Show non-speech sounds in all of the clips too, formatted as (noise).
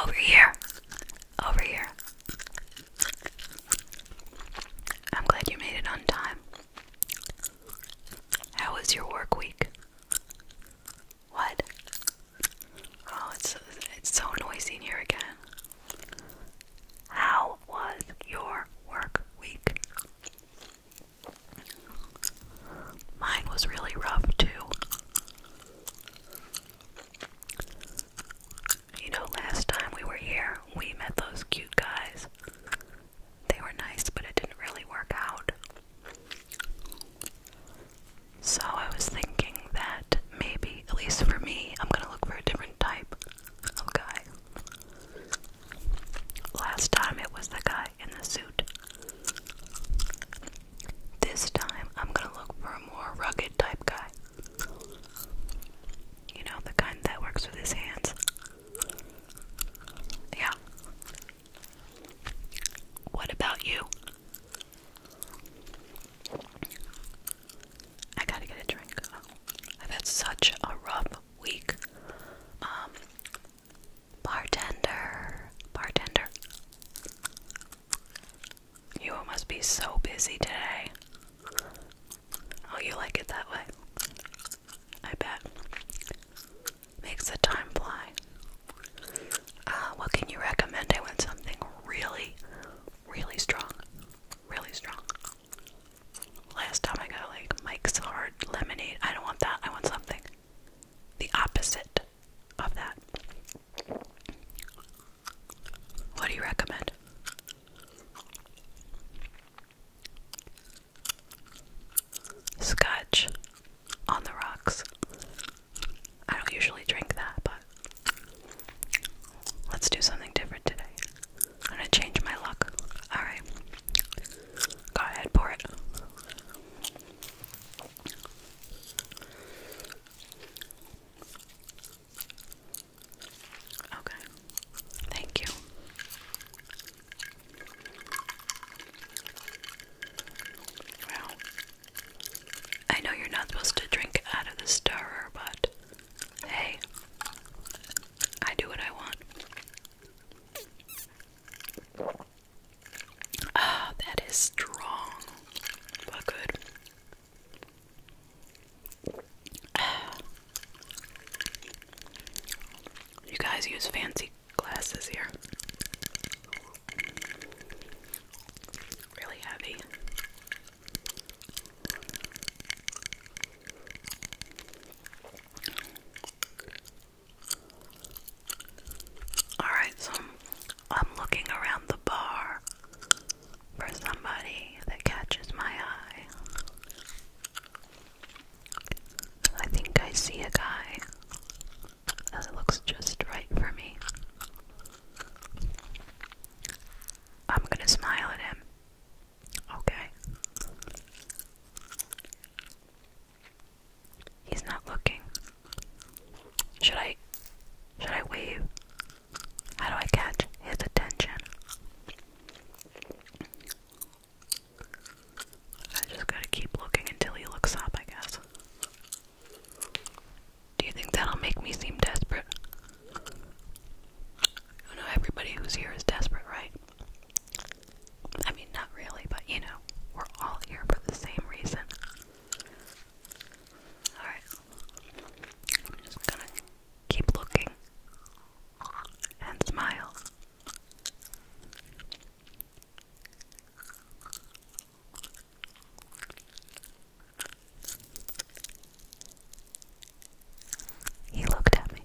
Over here. Over here. I'm glad you made it on time. How was your work week? What? Oh, it's it's so noisy in here again. How was your work week? Mine was really rough too. You know, last time we were here, we met those cute guys. They were nice, but it didn't really work out. So I was thinking that maybe, at least for me, I'm gonna look for a different type of guy. Last time it was the guy in the suit. This time, I'm gonna look for a more rugged type guy. You know, the kind that works with his hands. Yeah. What about you? I gotta get a drink. I've had such a rough week. Um, Bartender, bartender. You must be so busy today. Oh, you like it that way? I bet. Makes the time fly. Uh, what can you recommend? I want something really, really strong. Really strong. Last time I got like Mike's Hard Lemonade. I don't want that. I want something. The opposite of that. What do you recommend? Scotch on the rocks. I don't usually drink that, but let's do something different today. I'm gonna change my luck. Alright. Go ahead, pour it. Okay. Thank you. Well, I know you're not supposed to drink out of the stirrer, but hey, I do what I want. Ah, that is strong, but good. Ah. You guys use fancy glasses here. Really heavy. Alright, so I'm looking around the bar for somebody that catches my eye. I think I see a guy that looks just right for me. I'm gonna smile at him. Okay. He's not looking. Should I should I wave? How do I catch his attention? I just gotta keep looking until he looks up, I guess. Do you think that'll make me seem desperate? I know everybody who's here is desperate, right? I mean, not really, but you know, we're all here for the same reason. Alright. I'm just gonna keep looking and smile. He looked at me.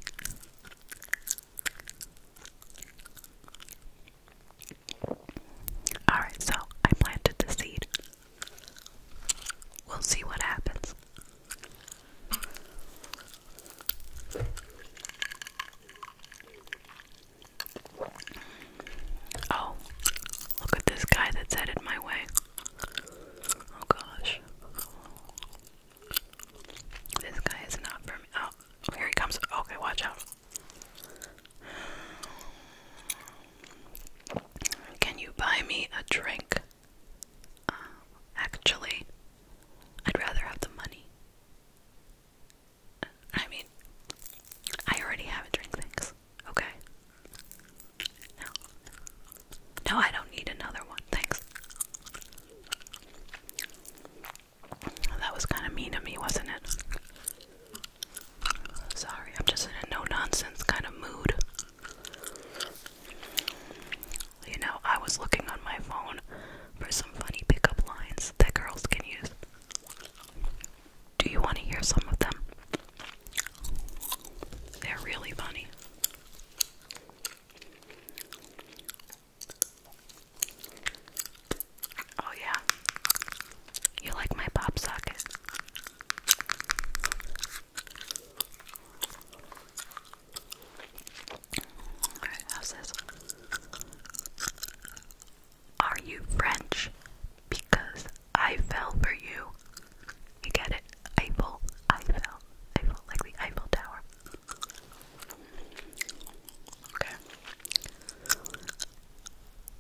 Alright, so I planted the seed. We'll see what happens. Oh, look at this guy that's headed my way. Oh gosh. This guy is not for oh, here he comes. Okay, watch out. Can you buy me a drink? Uh, actually, I'd rather have the money. I mean, I already have a drink, thanks. Okay. No, I don't need another one, thanks. That was kind of mean to me, wasn't it? Sorry, I'm just in a no nonsense kind of mood. You know, I was looking on my phone for some funny pickup lines that girls can use. Do you want to hear some of them? They're really funny. Oh, yeah. You like my pop socket? how's this? Are you French? Because I fell for you. You get it? Eiffel, Eiffel, Eiffel, like the Eiffel Tower. Okay.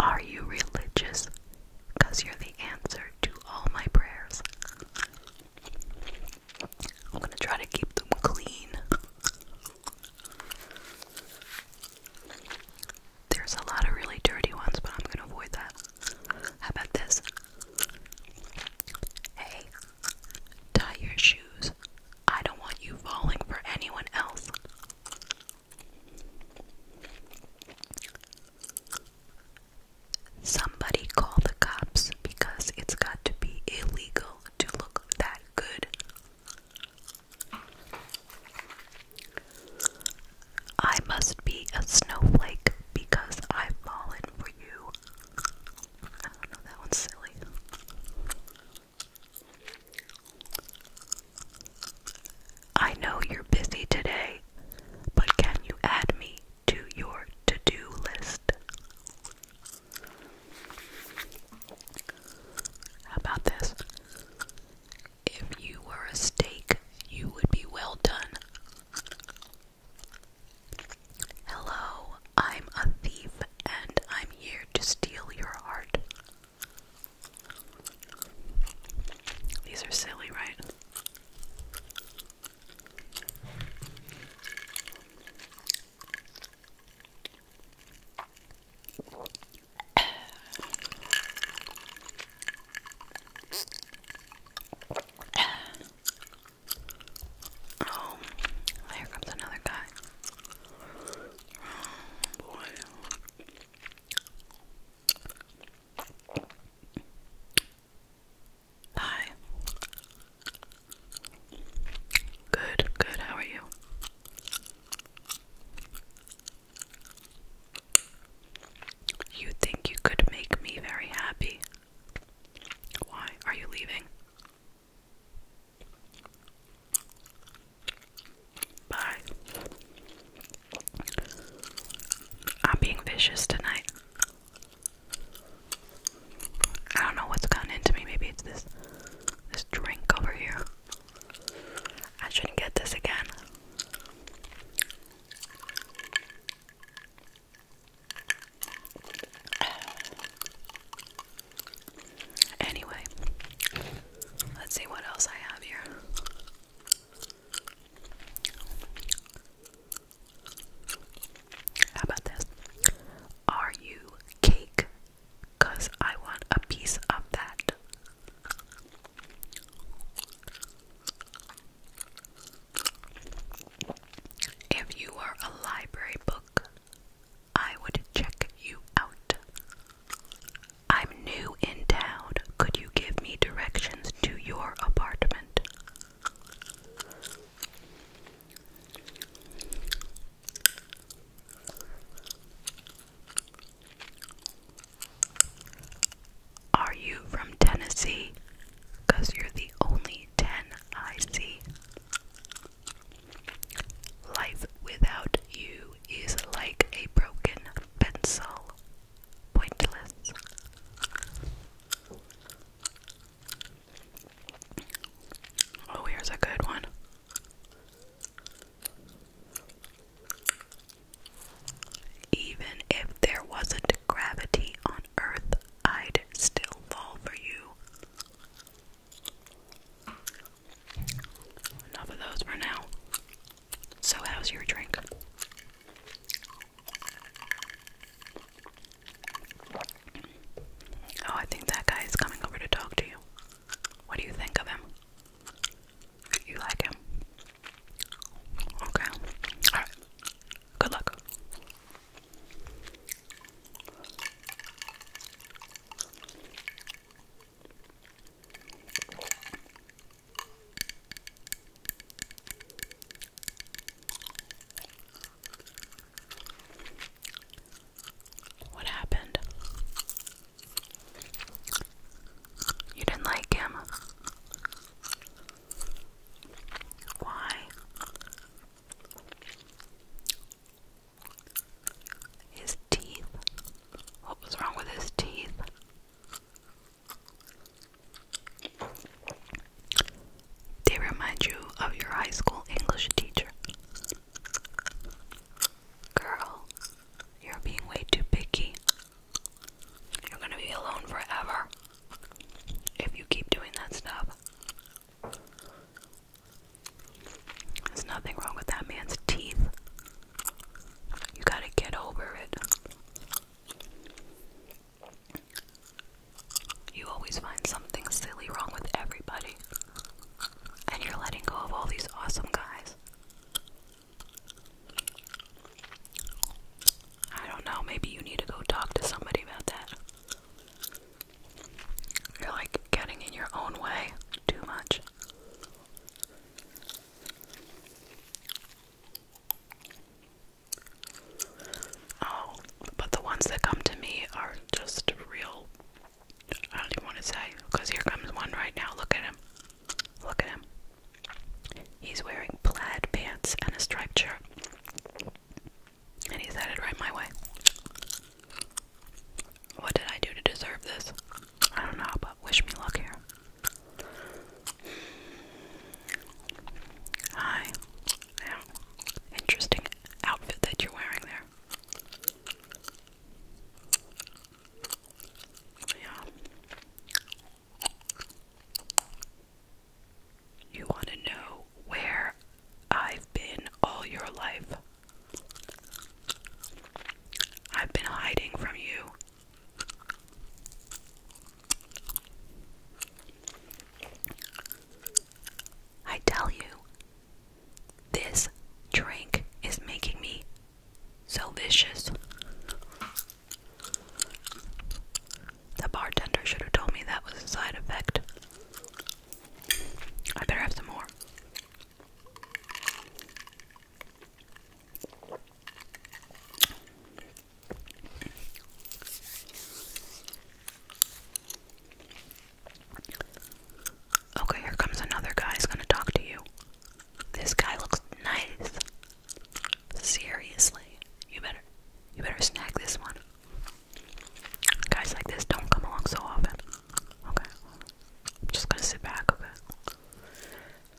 Are you religious? Because you're the answer to all my prayers. I'm going to try to keep them clean. There's a lot of really dirty ones, but I'm going to avoid that. How about this? Hey, tie your shoes. I don't want you falling for anyone else. Somebody call the cops because it's got to be illegal to look that good. I must be a snowflake because I've fallen for you. I don't know, that one's silly. I know you're busy today, but can you add me to your to do list? How about this? If you were a steak, you would be well done. Hello, I'm a thief and I'm here to steal your heart. These are silly, right? Oh, here comes another guy. Oh, boy. Hi. Good, good. How are you? You think you could make me very happy? Why are you leaving? Bye. I'm being vicious tonight. I don't know what's gotten into me. Maybe it's this this drink over here. I shouldn't get this again. Anyway, let's see what else I have here. How about this? Are you cake? Because I want a piece of that. If you were a library book, I would check you out. I'm new in town. Could you give me directions to your apartment? Are you from Tennessee? Because you're the only 10 I see. Life without you is like a broken pencil, pointless. Oh, here's a good one. Even if there wasn't gravity on Earth, I'd still fall for you. Enough of those for now. So, how's your drink? Oh, I think that guy is coming over to talk to you. What do you think of him? You like him? Okay. Alright. Good luck. What happened? You didn't like him. Why? Is teeth? What was wrong with his teeth? They remind you of your high school English teacher. Girl, you're being way too picky. You're gonna be alone forever if you keep doing that stuff. There's nothing wrong with that man's teeth. You gotta get over it. You always find something silly wrong with everybody. And you're letting go of all these awesome guys. I don't know, maybe you need to go talk to somebody about that. You're like getting in your own way too much. Oh, but the ones that come to me are just real. I don't even want to say here comes one right now. Look at him. Look at him. He's wearing plaid pants and a striped shirt. And he's headed right my way. What did I do to deserve this? I don't know, but wish me luck here. Hi. Yeah. Interesting outfit that you're wearing there. Yeah. You want to know where I've been all your life? I've been hiding from you. I tell you, this drink is making me so vicious. The bartender should have told me that was a side effect. I better have some more. Okay, here comes another guy who's gonna talk to you. This guy looks nice. Seriously, you better, you better snag this one. Guys like this don't come along so often. Okay, I'm just gonna sit back. Okay,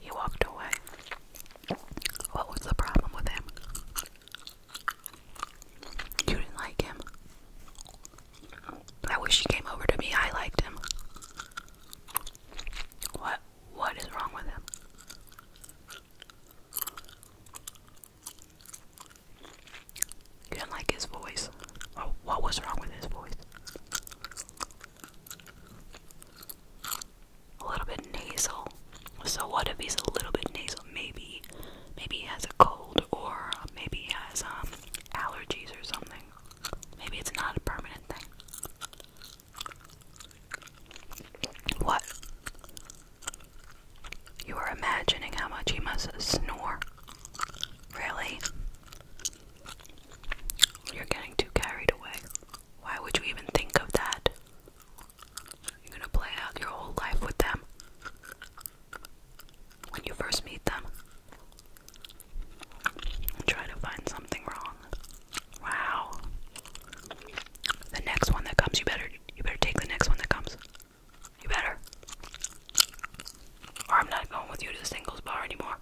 He walked away. What was the problem with him? You didn't like him. I wish he came over to me. I liked him. What? What is wrong with him? didn't like his voice. Oh, what was wrong with his voice? A little bit nasal. So what if he's a little bit nasal? Maybe, maybe he has a cold, or maybe he has um allergies or something. Maybe it's not a permanent thing. What? You are imagining how much he must snore. Really? You're getting too carried away. Why would you even think of that? You're gonna play out your whole life with them when you first meet them. try to find something wrong. Wow. The next one that comes, you better you better take the next one that comes. You better. Or I'm not going with you to the singles bar anymore.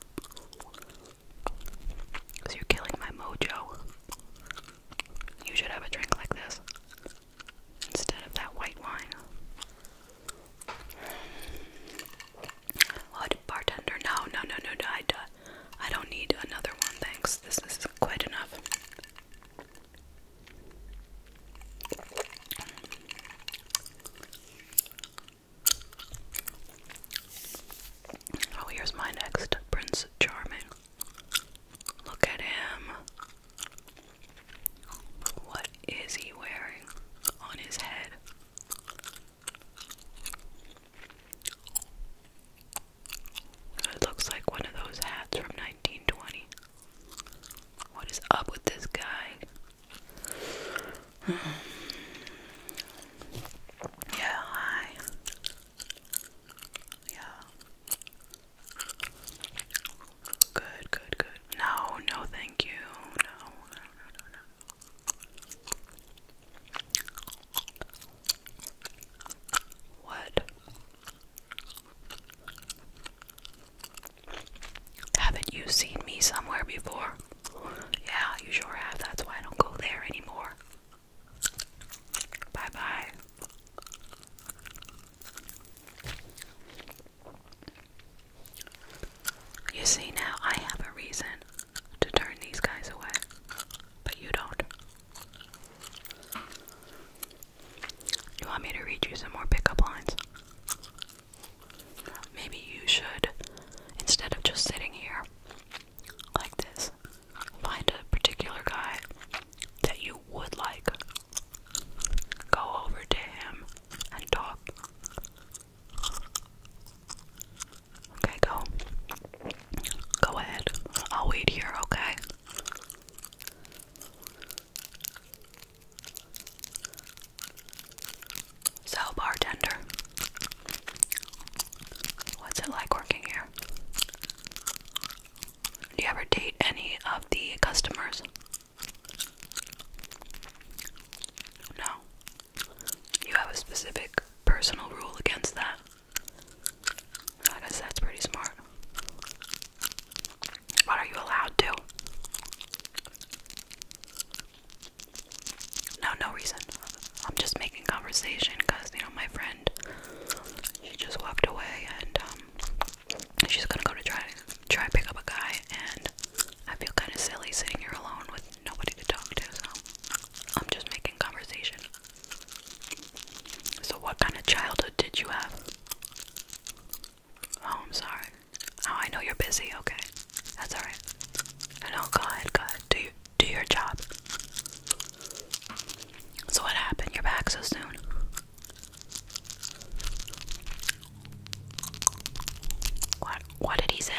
Cause you're killing my mojo. You should have a drink like this instead of that white wine. What oh, bartender? No, no, no, no, no. I, I don't need another one, thanks. This is quite enough. Oh, here's my next Prince Charming. Look at him. What is he wearing on his head? It looks like one of those hats from 1920. What is up with this guy? (sighs) yeah, hi. Yeah. Good, good, good. No, no, thank you. No, what? Haven't you seen me somewhere before? Yeah, you sure have. That's why I don't go there anymore. Bye bye. You see, now I have a reason to turn these guys away, but you don't. You want me to read you some more pickup lines? Maybe you should, instead of just sitting here like this, find a particular guy that you would like. Go over to him and talk. Okay, go. Go ahead. I'll wait here, okay? So, bartender, what's it like working here? Do you ever date any of the customers? No. You have a specific personal rule against that? I guess that's pretty smart. What are you allowed to? No, no reason. I'm just making conversation because, you know, my friend, she just walked away and um, she's gonna go to try try pick up a guy and I feel kind of silly sitting here alone with nobody to talk to, so I'm just making conversation. So, what kind of childhood did you have? Oh, I'm sorry. Oh, I know you're busy. Okay, that's all right. I know. Go ahead. Go ahead. Do do your job. So, what happened? You're back so soon. What? What did he say?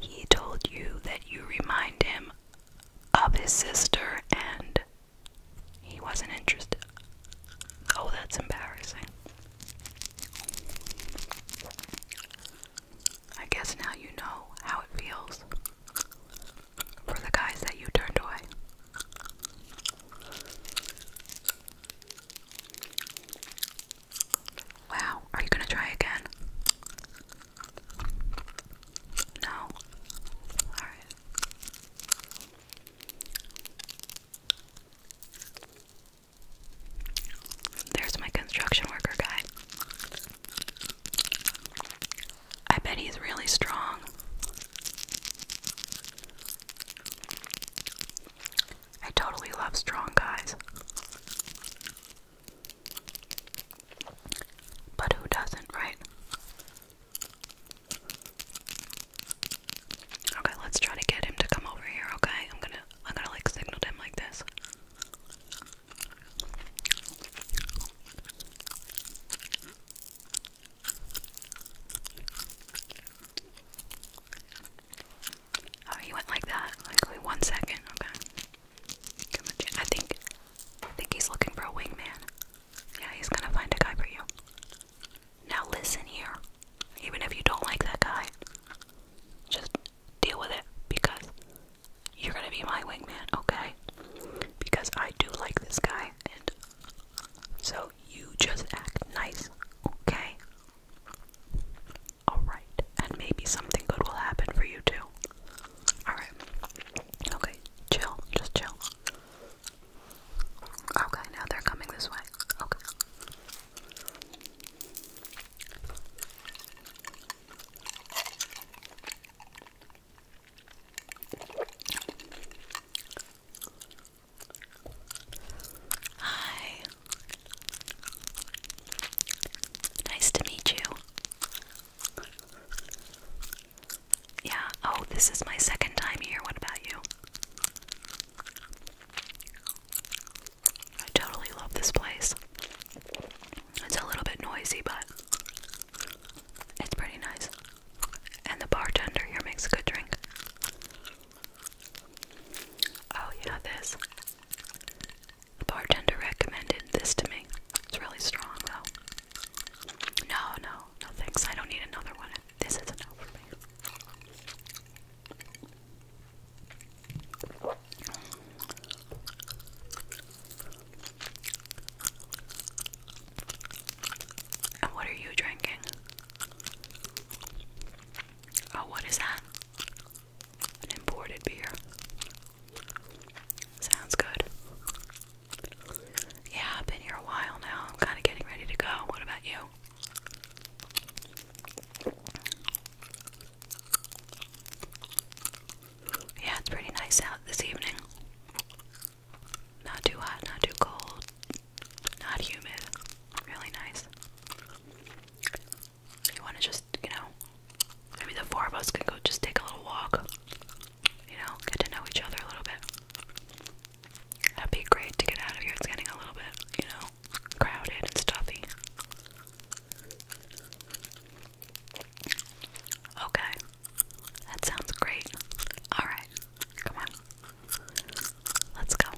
He told you that you remind him of his sister and he wasn't interested. Oh, that's embarrassing. I guess now you know how it feels for the guys that you turned away. Wow, are you gonna try again? No. Alright. There's my construction worker guy. I bet he's really strong. I totally love strong guys. But who doesn't, right? Okay, let's try to get him to come over here, okay? I'm gonna I'm gonna like signal him like this. Oh, he went like that. Like one second. Okay. I think, I think he's looking for a wingman. Yeah, he's gonna find a guy for you. Now listen here. Even if you don't like that guy, just deal with it because you're gonna be my wingman, okay? Because I do like this guy, and so you just act nice, okay? Alright, and maybe something good will happen for you too. Alright. Okay, chill, just chill. Okay, now they're coming this way. Okay. Hi. Nice to meet you. Yeah, oh, this is my second time here. What about you? I totally love this place. It's a little bit noisy, but it's pretty nice. And the bartender here makes a good drink. Oh, yeah, this. The bartender recommended this to me. It's really strong though. No, no, no thanks. I don't need another one. This is enough for me. And what are you drinking? Oh, what is that? an imported beer. Sounds good. Yeah, I've been here a while now. I'm kind of getting ready to go. What about you? Yeah, it's pretty nice out this evening. Not too hot, not too cold, not humid. Really nice. You want to just, you know, maybe the four of us could go just take a little walk. You know, get to know each other a little bit. That'd be great to get out of here. It's getting a little bit, you know, crowded and stuffy. Okay, that sounds great. Alright, come on. Let's go.